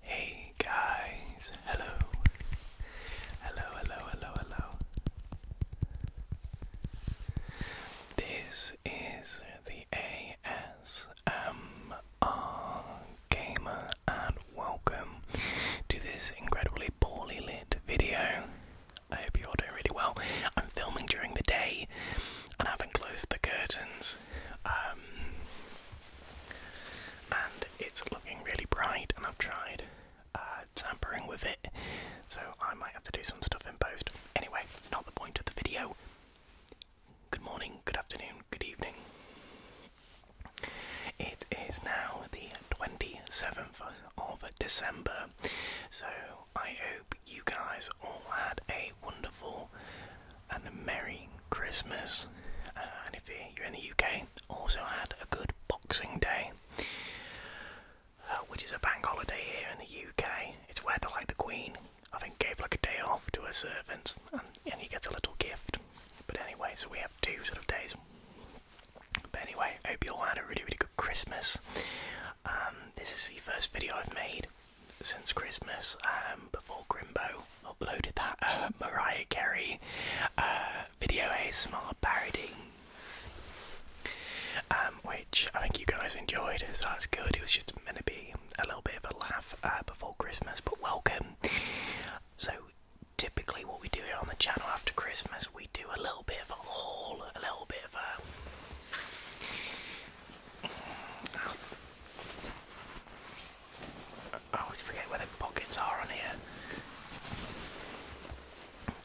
Hey guys, hello. Hello, hello, hello, hello. This is the ASMR Gamer and welcome to this incredibly poorly lit video. I hope you're all doing really well. I'm filming during the day and I haven't closed the curtains. Um, and it's looking really bright, and I've tried uh, tampering with it, so I might have to do some stuff in post. Anyway, not the point of the video. Good morning, good afternoon, good evening. It is now the 27th of December, so I hope you guys all had a wonderful and a Merry Christmas. Uh, and if you're in the UK, also had a good Boxing Day, uh, which is a bank holiday here in the UK. It's where the, like the Queen, I think, gave like a day off to her servants, and, he gets a little gift. But anyway, so we have two sort of days. But anyway, hope you all had a really, really good Christmas. Um, this is the first video I've made since Christmas, um, before Grimbo uploaded that uh, Mariah Carey uh, video ASMR parody. Um, which I think you guys enjoyed, so that's good. It was just meant to be a little bit of a laugh uh, before Christmas, but welcome. So typically what we do here on the channel after Christmas, we do a little bit of a haul, a little bit of a. I always forget where the pockets are on here.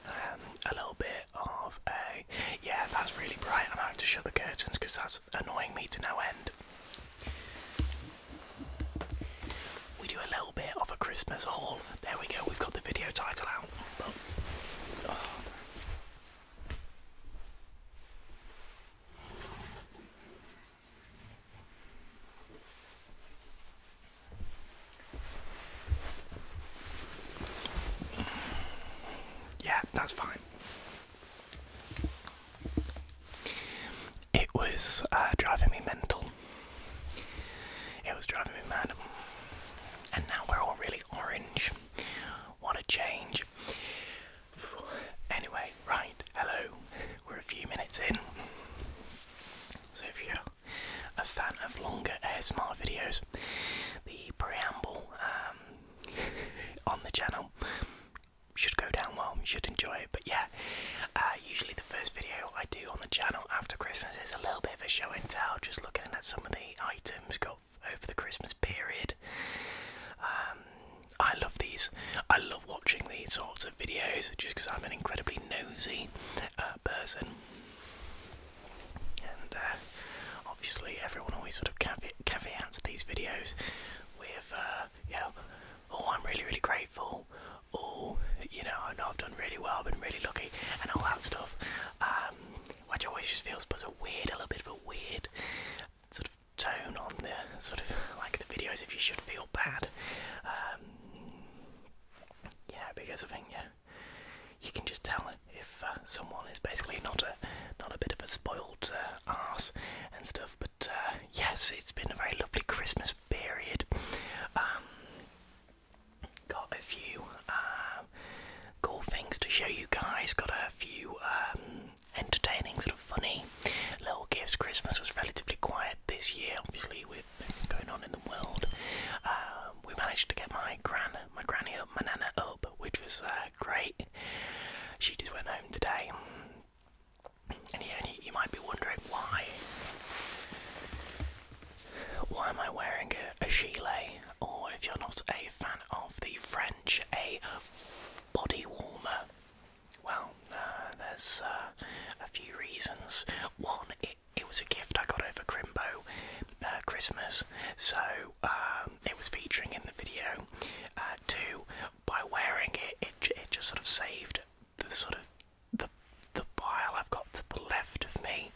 Um, a little bit of a. Yeah, that's really bright. I'm having to shut the curtains because that's annoying me to no end. We do a little bit of a Christmas haul. There we go, we've got the video title out. Yeah, that's fine it was uh, driving me mental. It was driving me mad. And now we're all really orange. What a change. Anyway, right, hello. We're a few minutes in. So if you're a fan of longer ASMR videos, the preamble um, on the channel should go down well. You should enjoy it. But yeah, uh, usually, the first video I do on the channel after Christmas is a little bit of a show and tell, just looking at some of the items got over the Christmas period. Um, I love these. I love watching these sorts of videos just because I'm an incredibly nosy uh, person. And uh, obviously, everyone always sort of caveat, caveats these videos with, uh, oh, I'm really, really grateful oh, you know, I know I've done really well, I've been really lucky, and all that stuff, um, which always just feels but a weird, a little bit of a weird sort of tone on the sort of like the videos if you should feel bad, um, you know, because I think yeah, you can just tell if uh, someone is basically not a not a bit of a spoiled uh, ass and stuff. But uh, yes, it's been a very lovely Christmas. Christmas period. Um, got a few um, cool things to show you guys. Got a few um, entertaining, sort of funny little gifts. Christmas was relatively quiet this year, obviously with everything going on in the world. we managed to get my gran, my granny up, my nana up, which was uh, great. She just went home today. And, yeah, you, might be wondering why. Why am I wearing a, a Or if you're not a fan of the French, a body warmer. Well, uh, there's uh, a few reasons. One, it, was a gift I got over Crimbo uh, Christmas, so um, it was featuring in the video. Uh, two, by wearing it, it just sort of saved the sort of the the pile I've got to the left of me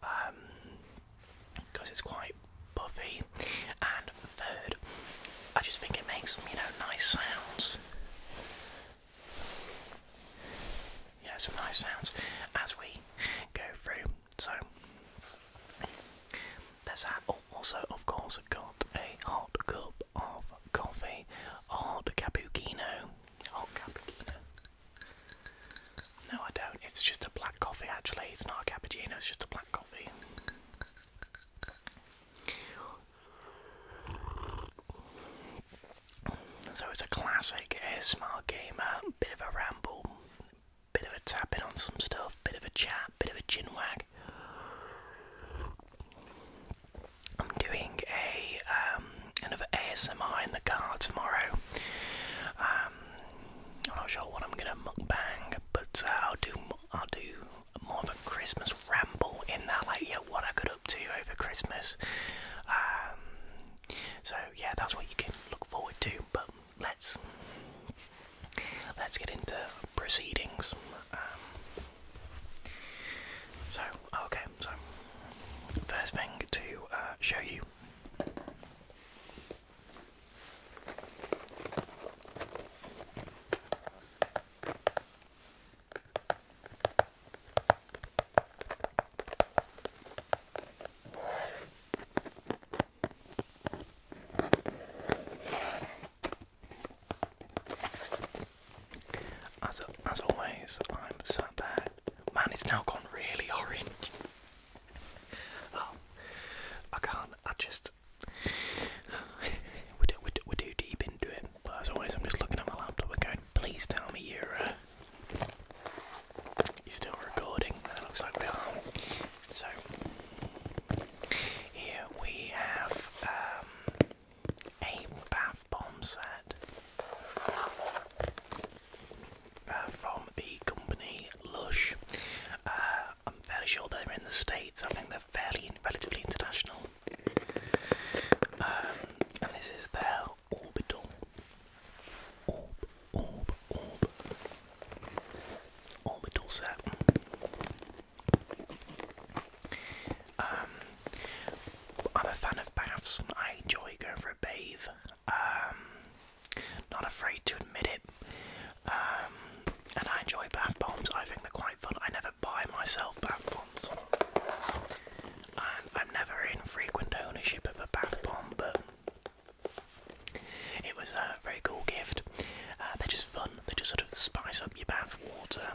because um, it's quite puffy. And third, I just think it makes some you know nice sounds. You know some nice sounds as we go through. So there's that. Oh, also, of course, I've got a hot cup of coffee Oh, the Cappuccino. Oh, Cappuccino. No, I don't. It's just a black coffee, actually. It's not a cappuccino, it's just a black coffee. So it's a classic a ASMR gamer, bit of a ramble, bit of a tapping on some stuff, bit of a chat, bit of a chin wag. I'm doing a um, another ASMR in the car tomorrow. Um, I'm not sure what I'm gonna muck bang, but uh, I'll do I'll do more of a Christmas ramble in there, like yeah, what I got up to over Christmas. Um, so yeah, that's what you can look forward to. But let's let's get into proceedings. Um, so, okay, so first thing to uh, show you as as always, I'm sat there. Man, it's now gone really orange. Um, I can't. I just we do we do we do deep into it. But as always, I'm just looking at my laptop and going, "Please tell me you're uh, you're still recording." it looks like we are. So here we have um, a bomb set uh, from the company Lush. Uh, I'm fairly sure they're in the States, I think they're fairly relatively international. Um, and this is their orbital. Orb, orb, orb. Orbital set. Um, I'm a fan of baths. I enjoy going for a bath. Um, not afraid to admit it. Um, and I enjoy bath bombs. I think they're quite fun. I never buy myself bath bombs. I'm never in frequent ownership of a bath bomb, but it was a very cool gift. Uh, they're just fun. They just sort of spice up your bath water.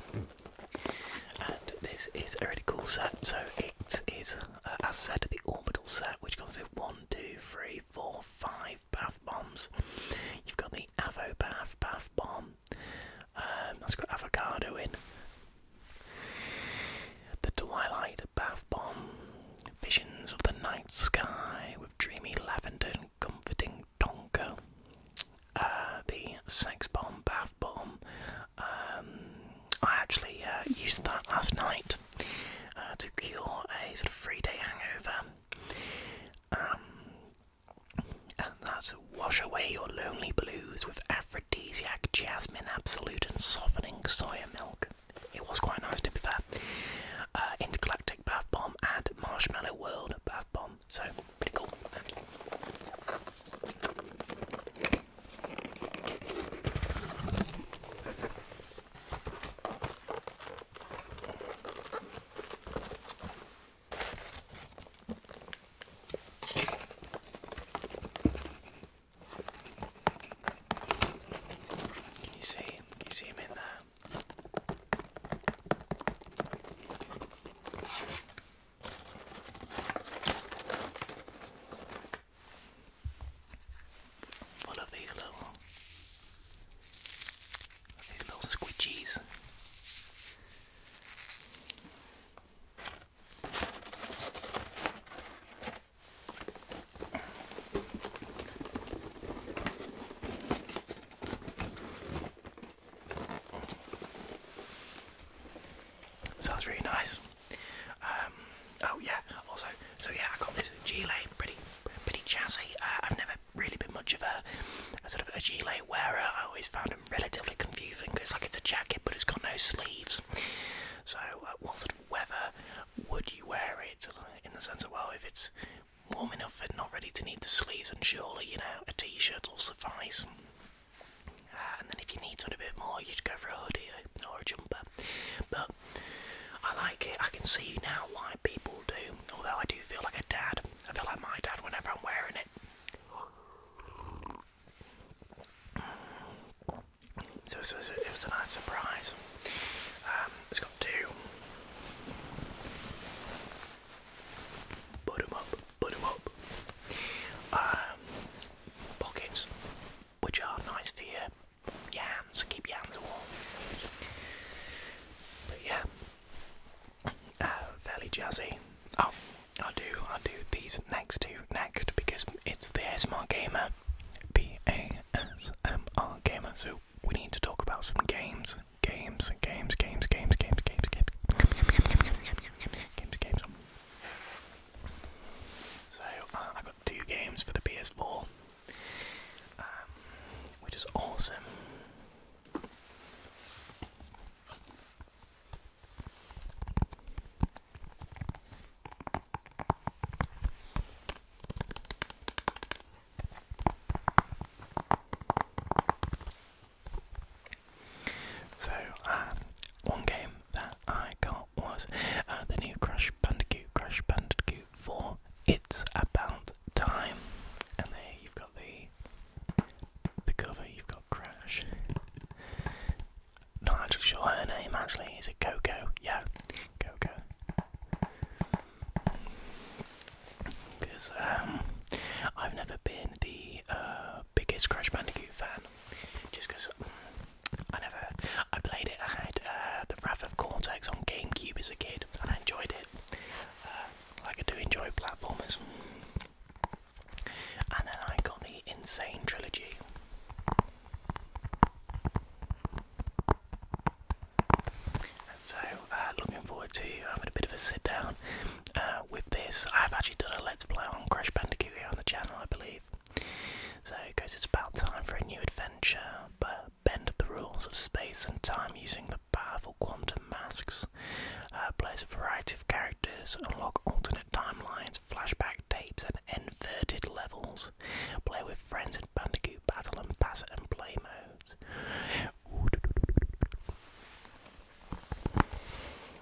And this is a really cool set. So it is, uh, as said, the orbital set, which comes with one, two, three, four, five bath bombs. You've got the Avo Bath bath bomb. Um, that's got avocado in. The Twilight bath bomb. Visions of the night sky with dreamy lavender and comforting Tonka, uh, the Sex Bomb Bath Bomb. Um, I actually uh, used that last night uh, to cure a sort of three day hangover. Um, and that's wash away your lonely blues with aphrodisiac, jasmine, absolute, and softening soya milk. It was quite nice to be fair. Intergalactic Bath Bomb and Marshmallow World Bath Bomb. So pretty cool. you see him? you see him in there? Full of these little these little squidgies. Sounds really nice. Um, oh yeah, also, so yeah, I got this Gilet, pretty, pretty chassis. Uh, I've never really been much of a, sort of a Gilet wearer. I always found them relatively confusing because like it's a jacket but it's got no sleeves. So uh, what sort of weather would you wear it? In the sense of well, if it's warm enough and not ready to need the sleeves, and surely you know a T-shirt will suffice. and then if you need something a bit more, you'd go for a hoodie or a jumper. But I like it. I can see now why people do. Although I do feel like a dad. I feel like my dad whenever I'm wearing it. So it was, it was a nice surprise. Um, it's got two. Put them up put them up. Um, pockets, which are nice for your, your hands, keep your hands warm. But yeah, uh, fairly jazzy. Oh, I do, I do these next two next because it's the ASMR gamer, the ASMR gamer. So we need to talk about some games games, games, games, games, games, games, games, games, games. So uh, I got two games for the PS4, um, which is awesome. So, um, one game that I got was uh, the new Crash Bandicoot, Crash Bandicoot 4. It's about time. And there you've got the the cover, you've got Crash. Not actually sure her name actually, is it Coco? Yeah, Coco because um, I've never been the uh, biggest Crash Bandicoot fan. Just because mm, I never, I played it. I had uh, the Wrath of Cortex on GameCube as a kid, and I enjoyed it. Uh, like I do enjoy platformers. And then I got the Insane Trilogy. So, uh, looking forward to uh, having a bit of a sit down uh, with this. I've actually done a Let's Play on Crash Bandicoot here on the channel, I believe. So, because it's about time for a new adventure, but bend the rules of space and time using the powerful quantum masks. Uh, play as a variety of characters, unlock alternate timelines, flashback tapes, and inverted levels. Play with friends in Bandicoot Battle and Pass and Play modes.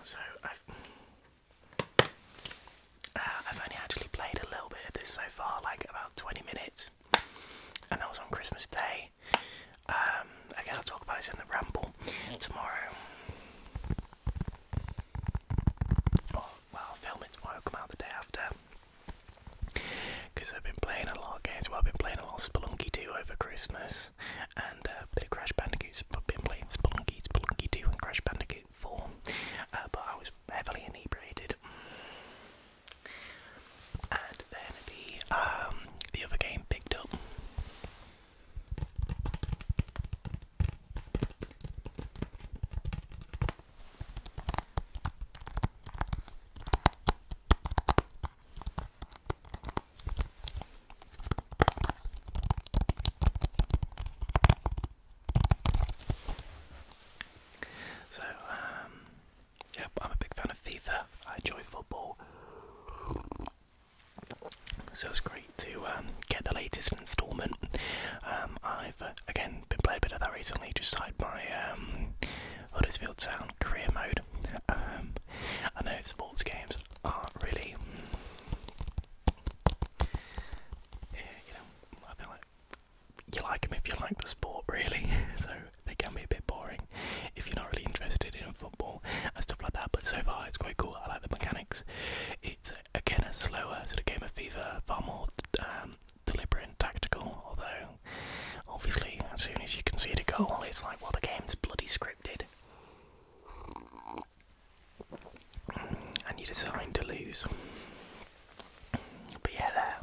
So I've uh, I've only actually played a little bit of this so far, like about 20 minutes, and that was on Christmas Day. Um, again, I'll talk about this in the ramble tomorrow. Oh, well, film it tomorrow, come out the day after because I've been playing a lot of games. Well, I've been playing a lot of Spelunky 2 over Christmas, and uh, Crash Bandicoot. I've been playing Spelunky, Spelunky 2, and Crash Bandicoot 4, uh, but I was heavily inebriated. And then the um, the other game picked up. So, um, I'm a big fan of FIFA. I enjoy football. So it's great to um, get the latest instalment. Um, I've uh, again been playing a bit of that recently. Just started my um, Huddersfield Town career mode. Um, I know sports games aren't really. you know, I feel like you like them if you like the sport, really. So they can be a bit boring if you're not really interested in football and stuff like that. But so far, it's quite cool. I like the mechanics. It's again a slower sort of game of fever, far more um, deliberate and tactical. Although obviously, as soon as you concede a goal, it's like, well, the game's bloody scripted. And you decide to lose. But yeah, there.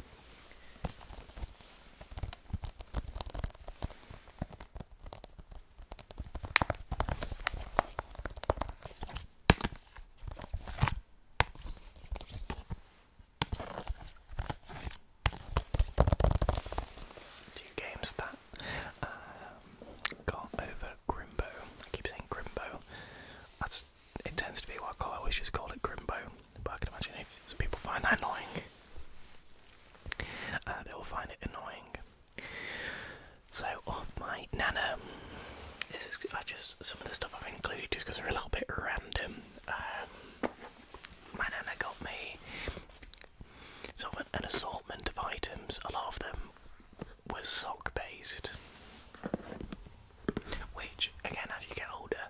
Two games that um, got over Grimbo. I keep saying Grimbo. That's it tends to be what I always just call it Grimbo. But I can imagine if some people find that annoying, uh, they'll find it annoying. So off my nana. This is I just some of the stuff I've included just because they're a little bit random. Um, my nana got me sort of an assortment of items. A lot of them were sock based, which again, as you get older,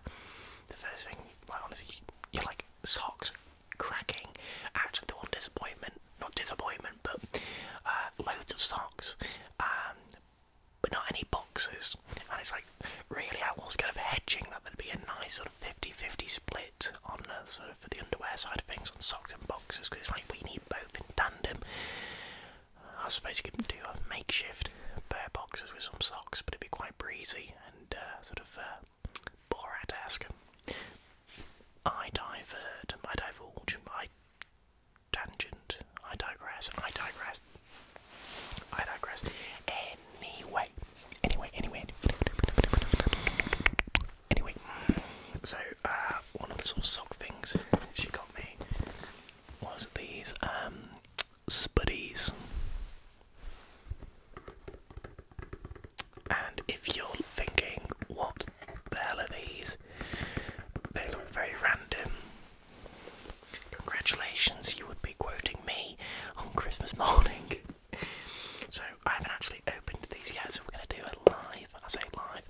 the first thing, like honestly, you're like socks cracking. Actually, the one disappointment, not disappointment, but uh, loads of socks, um, but not any boxes. And it's like really I was kind of hedging that there'd be a nice sort of 50 split on sort of for the underwear side of things on socks and boxes because it's like we need both in tandem. I suppose you could do a makeshift pair of boxes with some socks, but it'd be quite breezy and uh, sort of uh, Borat-esque. I diverge. I divulge, I tangent, I digress, I digress. I digress. Anyway, anyway, anyway, anyway. So, uh, one of the sort of sock things she got me was these um, spudies. And if you're thinking, what the hell are these? They look very random. Congratulations, you would be quoting me on Christmas morning. so I haven't actually opened these yet, so we're going to do it live. I say live.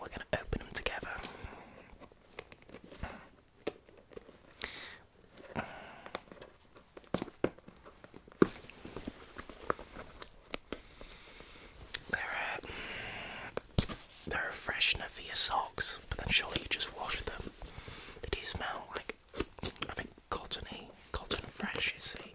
We're going to open them together. They're uh, a, are freshener for your socks, but then surely you just wash them. They do smell like I think cottony, cotton fresh, you see.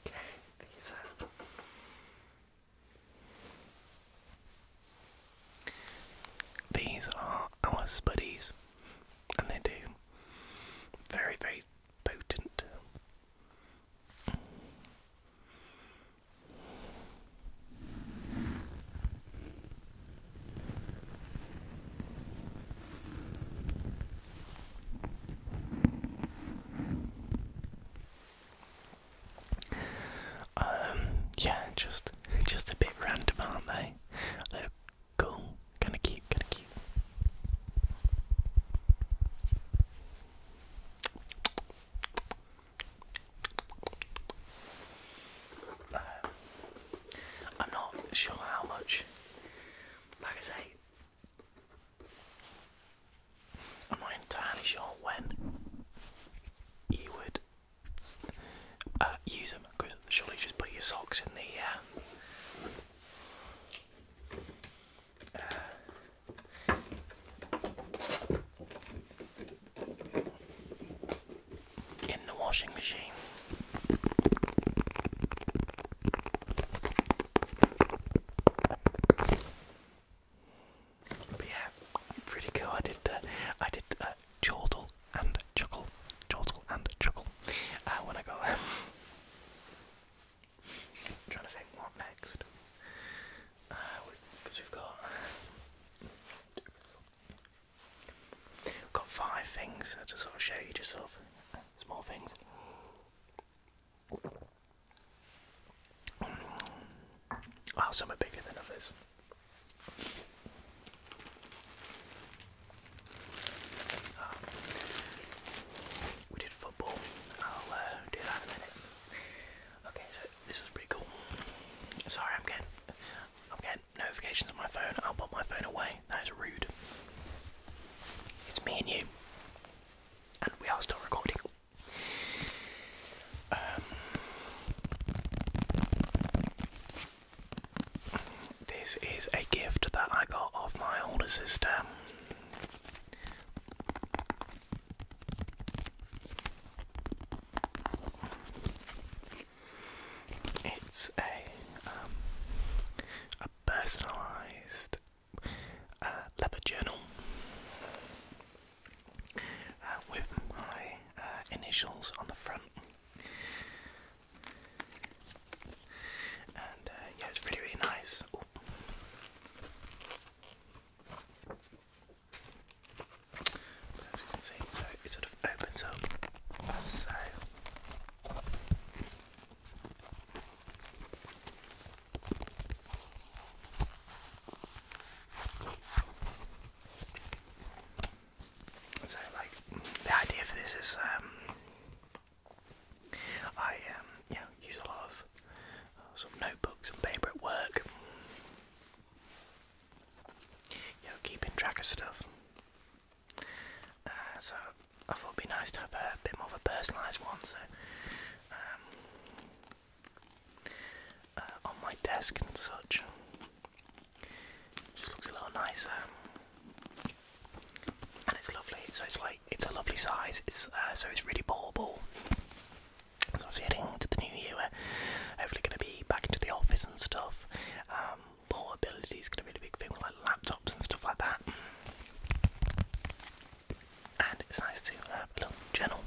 Okay, these are. These are our spuddies. And they do. Very, very potent. Um, yeah, just just a bit random, aren't they? Look. Cool. Kinda cute, kinda cute. I'm not sure how much, like I say, I'm not entirely sure when you would uh, use them because surely just put your socks in the. Uh, uh, in the washing machine. But yeah, pretty cool. I did, uh, I did uh, and chuckle, chortle and chuckle uh, I want them. i trying to think what next. Because uh, we, have got we've got five things to sort of show you, just of small things. Oh, some are bigger than others we did football. I'll uh, do that in a minute. Okay, so this was pretty cool. Sorry, I'm getting, I'm getting notifications on my phone. I'll put my phone away. That is rude. It's me and you, and we are still recording. Um, this is a gift that I got off my older sister. It's a um, a personalised uh, leather journal uh, with my uh, initials on the front. And uh, yeah, it's really, really nice. as you can see, so it sort of opens up so. So, like, the idea for this is, um, I um, yeah use a lot of uh, some notebooks and paper at work. You know, keeping track of stuff. Uh, so I thought it'd be nice to have a bit more of a personalised one. So. Um, uh, on my desk and such. Just looks a lot nicer, and it's lovely. So it's like it's a lovely size. It's uh, so it's really portable. So obviously heading to the new year, hopefully going to be back into the office and stuff. Um, portability is going to be a big thing like laptops and stuff like that. And it's nice to have a little journal.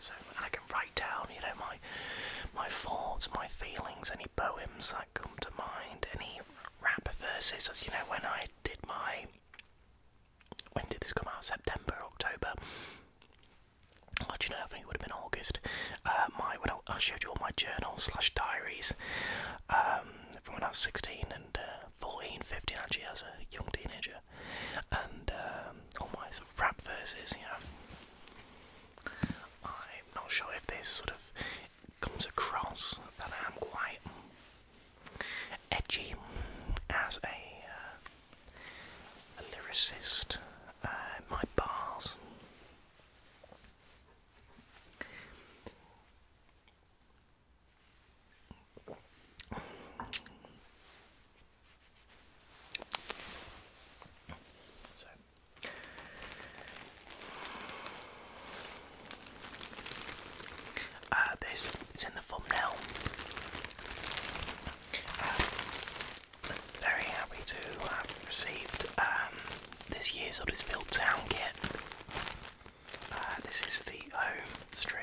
So and I can write down, you know, my my thoughts, my feelings, any poems that come to mind, any rap verses, as you know, when I did my when did this come out? September, October. Well, do I would have been August. Uh, my when I, showed you all my journal slash diaries um, from when I was 16 and uh, 14, 15 actually as a young teenager and um, all my sort of rap verses, you know. I'm not sure if this sort of comes across that I'm quite edgy as a, uh, lyricist. Uh, my bars. Uh, this it's in the thumbnail. Uh, very happy to have received um, this year's Huddersfield Town kit. Uh, this is the home strip.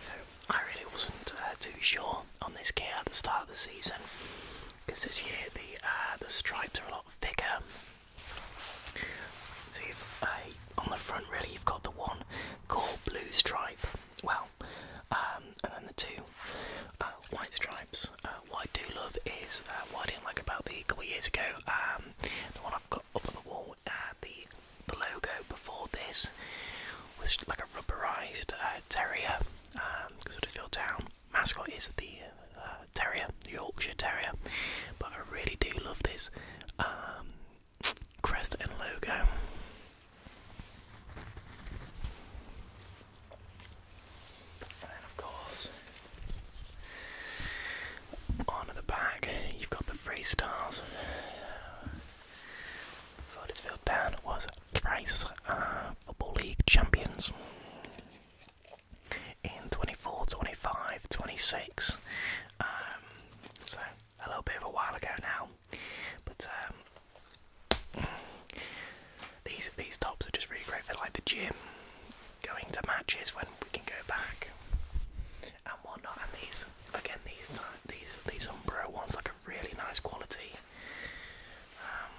So I really wasn't uh, too sure on this kit at the start of the season because this year the uh, the stripes are a lot thicker. So you've uh, on the front really you've got the one called blue stripe. Well, um, and then the two uh, white stripes. what I do love is what I didn't like about the couple years ago. Um, the one I've got up on the wall the the logo before this was like a rubberized uh, terrier um, Huddersfield Town mascot is the uh, terrier Yorkshire Terrier but I really do love this um, crest and logo and of course on the back, you've got the freestyles. Huddersfield Town was thrice uh, Football League champions in 24, 25, 26. Um, so, a little bit of a while ago now. But um, these, these tops are just really great for like the gym, going to matches when we can go back and whatnot. And these again these these these Umbro ones like a really nice quality. Um,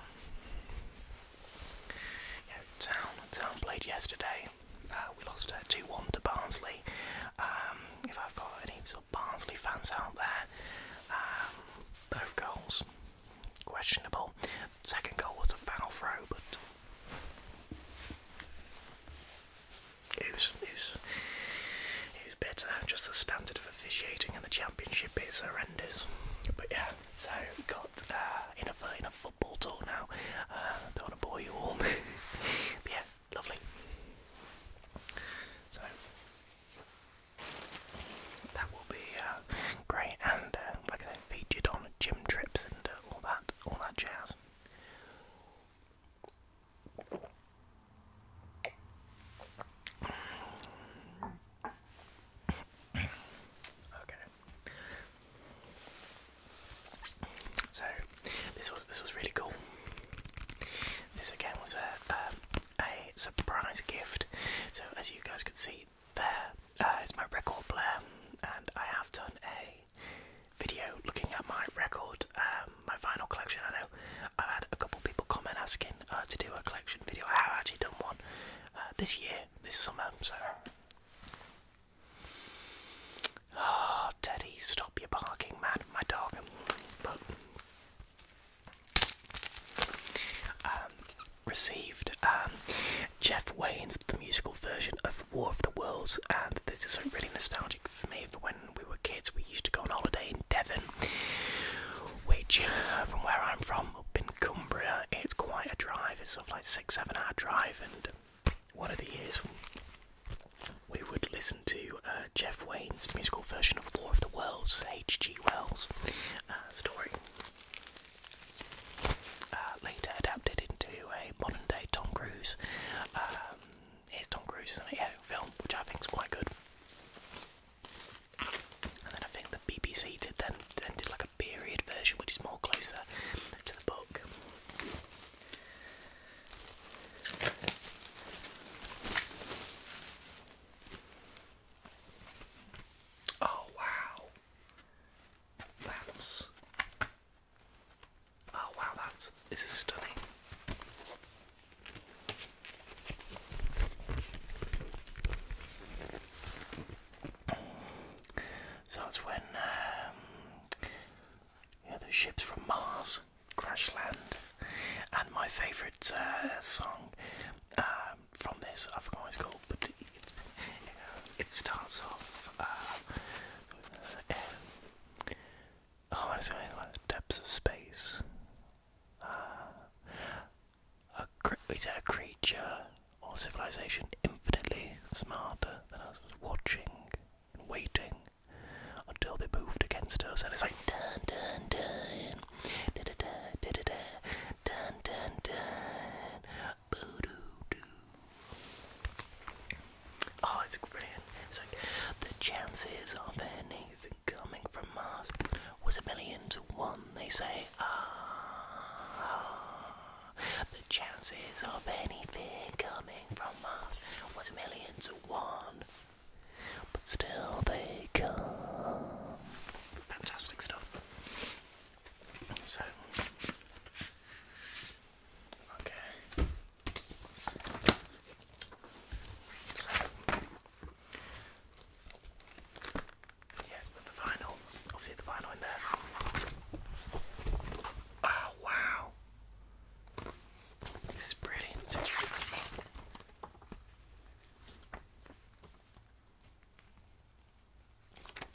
town Town played yesterday. Uh, we lost uh, two one to Barnsley. Um, if I've got any sort of Barnsley fans out there, um, both goals questionable. Second goal was a foul throw, but it was, it was, it was better. Just the standard of officiating and the championship is horrendous. But yeah, so we've got uh, in a in a football talk now. don't uh, want to bore you all. but yeah, lovely. So that will be uh, great, and like I said, featured on gym trips and all that, all that jazz. Okay. So this was this was really cool. This again was a um, a surprise gift. So as you guys could see there uh, my record player, and I have done a video looking at my record, um, my final collection. I know I've had a couple people comment asking uh, to do a collection video. I have actually done one uh, this year, this summer. So, ah, Teddy, stop your barking, man. My dog. Um, received um, Jeff Wayne's the musical version of War of the Worlds, and this is really nostalgic for me. For when we were kids, we used to go on holiday in Devon, which, uh, from where I'm from, up in Cumbria, it's quite a drive. It's sort of like six, seven-hour drive, and one of the years we would listen to uh, Jeff Wayne's musical version of War of the Worlds, H.G. Wells' uh, story, later adapted into a modern-day Tom Cruise um, here's Tom Cruise in a yeah, film, which I think is quite good. And then I think the BBC did then then did like a period version, which is more closer to the book. Oh wow, that's Oh wow, that's this is stunning. So that's when um, yeah, the ships from Mars crash land, and my favourite uh, song um, from this I forgot what it's called, but it, starts off. Uh, uh, Oh, it's going like the depths of space. Uh, a is that a creature or civilization infinitely smarter than us was watching and waiting until they moved against us? And it's like dun dun dun, da da da da da da, dun dun dun, boo doo doo. Oh, it's brilliant. It's like the chances of anything coming from Mars was a million to one. They say, ah, the chances of anything coming from Mars was a million to one. But still, they come. Fantastic stuff. So, okay. So, yeah, with the vinyl, obviously the final in there. Oh wow, this is brilliant.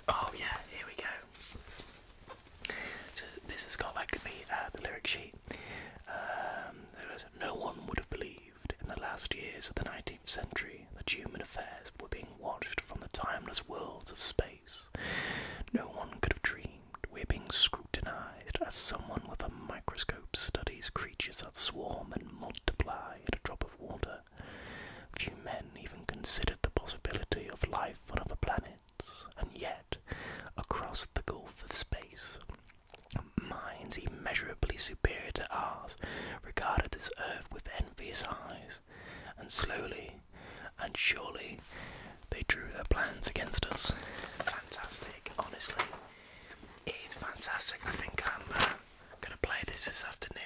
Oh yeah, here we go. So this has got like the uh, the lyric sheet. Um, no one would have believed in the last years of the 19th century that human affairs were being watched from the timeless worlds of space. No one could have dreamed we're being scrutinized as someone with a microscope studies creatures that swarm and multiply at a drop of water. Few men even considered the possibility of life on other planets and yet, across the gulf of space, minds immeasurably superior to ours regarded this earth with envious eyes, and slowly and surely they drew their plans against us. Fantastic, honestly. It is fantastic. I think i uh, going to play this this afternoon.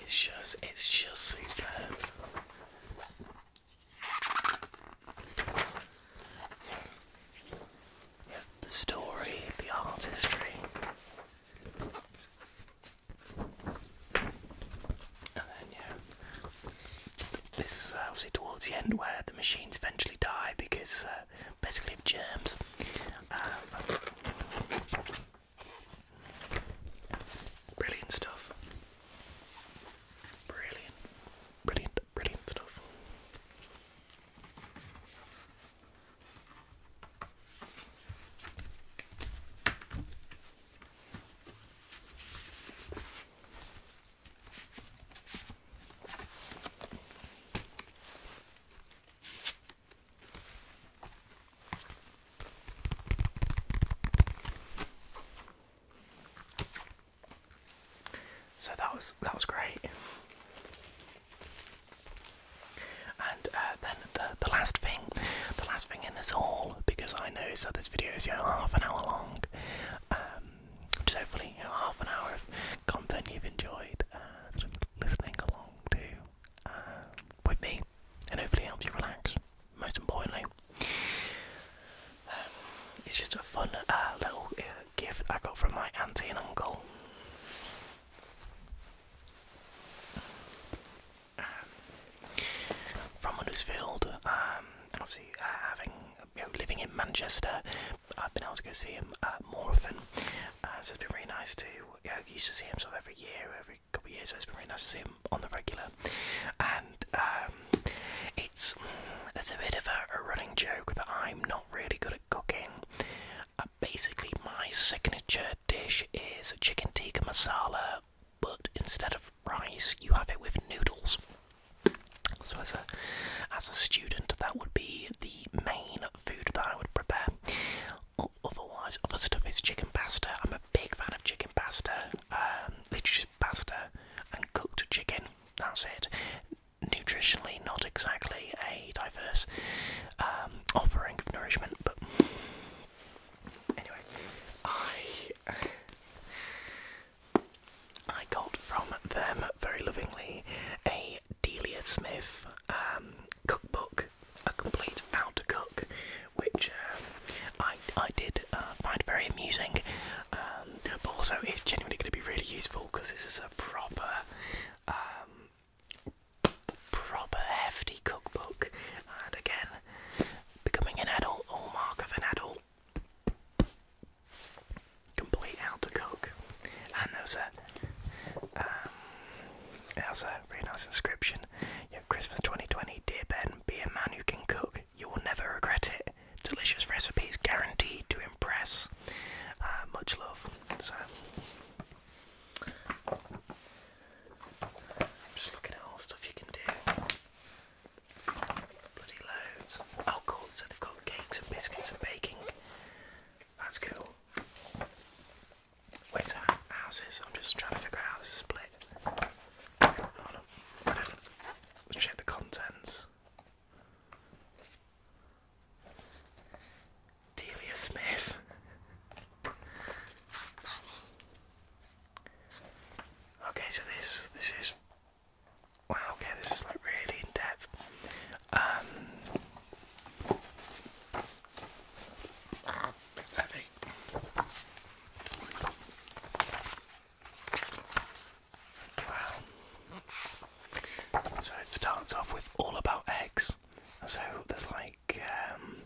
It's just, it's just superb. the story, the artistry. And then, yeah, this is uh, obviously towards the end where the machines eventually die because uh, basically of germs. Um, Brilliant stuff. Brilliant, brilliant, brilliant stuff. So that was that was great. And uh, then the the last thing, the last thing in this haul, because I know so this video is you know, half an hour long, um, which hopefully half an hour of content you've enjoyed uh, listening along to. Um, with me and hopefully help you relax, most importantly. Um, it's just a fun uh, little uh, gift I got from my auntie and uncle. Um, from Huddersfield, um, and obviously uh, having living in Manchester, I've been able to go see him more often. so it's been really nice to you know, used to see him sort every year, every couple of years. So it's been really nice to see him on the regular. And um, it's a bit of a, running joke that I'm not really good at cooking. Uh, basically, my signature dish is chicken tikka masala, but instead of rice, you have it with noodles. So as a as a student, that would be the main food that I would prepare. Otherwise, other stuff is chicken pasta. I'm a big fan of chicken pasta. Um, pasta and cooked chicken. That's it. Nutritionally, not exactly a diverse um, offering of nourishment, but anyway, I I got from them very lovingly a Delia Smith um, cookbook, A Complete How to Cook, which um, I, I did uh, find very amusing, um, but also is genuinely going to be really useful because this is a proper, proper hefty cookbook, and again, becoming an adult, all mark of an adult. Complete how to cook. And there was a, um, there was a really nice inscription. Christmas 2020, dear Ben, be a man who can cook. You will never regret it. Delicious recipes guaranteed to impress. Uh, much love. So, I'm just looking at all stuff you can do. Bloody loads. Oh, So they've got cakes and biscuits and baking. That's cool. Wait, so I'm just trying to figure out how this split. Hold on. Let's check the contents. Delia Smith. Okay, so this this is wow. Okay, this is like really in depth. Um, so it starts off with all about eggs. So there's like um,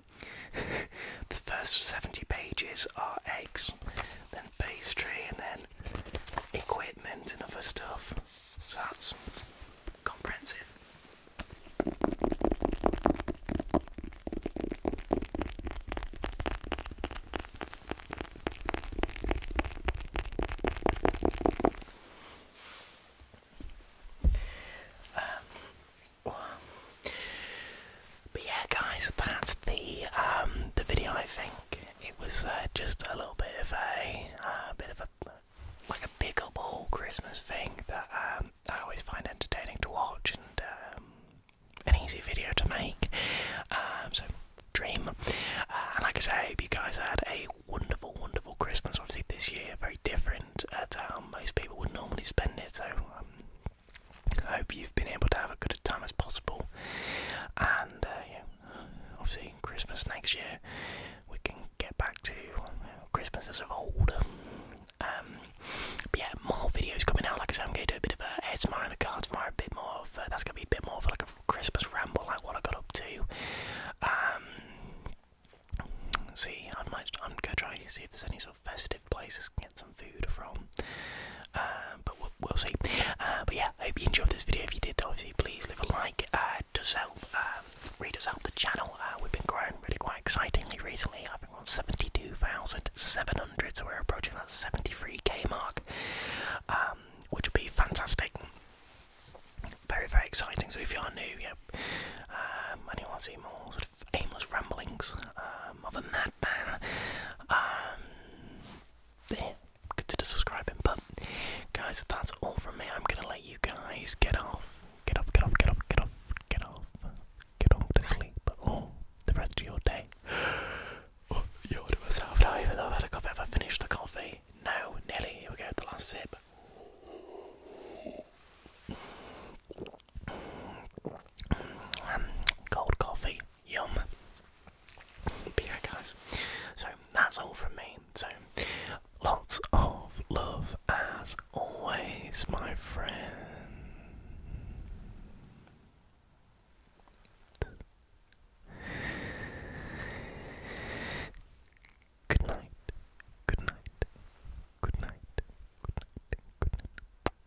the first 70 pages are eggs, then pastry, and then equipment and other stuff. that's comprehensive. Um, but yeah, guys, that's the um, the video. I think it was uh, just a little bit of a uh, bit of a like a big up Christmas thing that um, I always find entertaining to watch and um, an easy video to make. Um, so dream. Uh, and like I say, I hope you guys had a wonderful, wonderful Christmas. Obviously this year, very different uh, how most people would normally spend it. So I hope you've been able to have a good time as possible. And uh, obviously Christmas next year we can get back to Christmas as of old. Um, but yeah, more videos coming out. Like I said, I'm going to do a bit of a ASMR in the car tomorrow, a bit more of, that's going to be a bit more of like a Christmas ramble, like what I got up to. Um, see, I might, I'm going to try see if there's any sort of festive places can get some food from. Uh, but we'll, see. Uh, but yeah, I hope you enjoyed this video. If you did, obviously, please leave a like. Uh, it does help. Um, readers help the channel. Uh, we've been growing really quite excitingly recently. I think we're on 72,700, so we're approaching that 73k mark, um, which would be fantastic. Very, very exciting. So if you are new, yeah, um, and you want to see more sort of aimless ramblings of a madman, um, to the subscribing. But Guys, if that's all from me, I'm gonna let you guys get off. Get off, get off, get off, get off, get off. Get off to sleep. Or the rest of your day. oh, you order myself. Now, even though I've had a coffee, have I finished the coffee? No, nearly. Here we go, the last sip. Um, cold coffee, yum. But yeah, guys, so that's all from me. So, lots of love as always, my friend. Good night, good night, good night, good night, good night.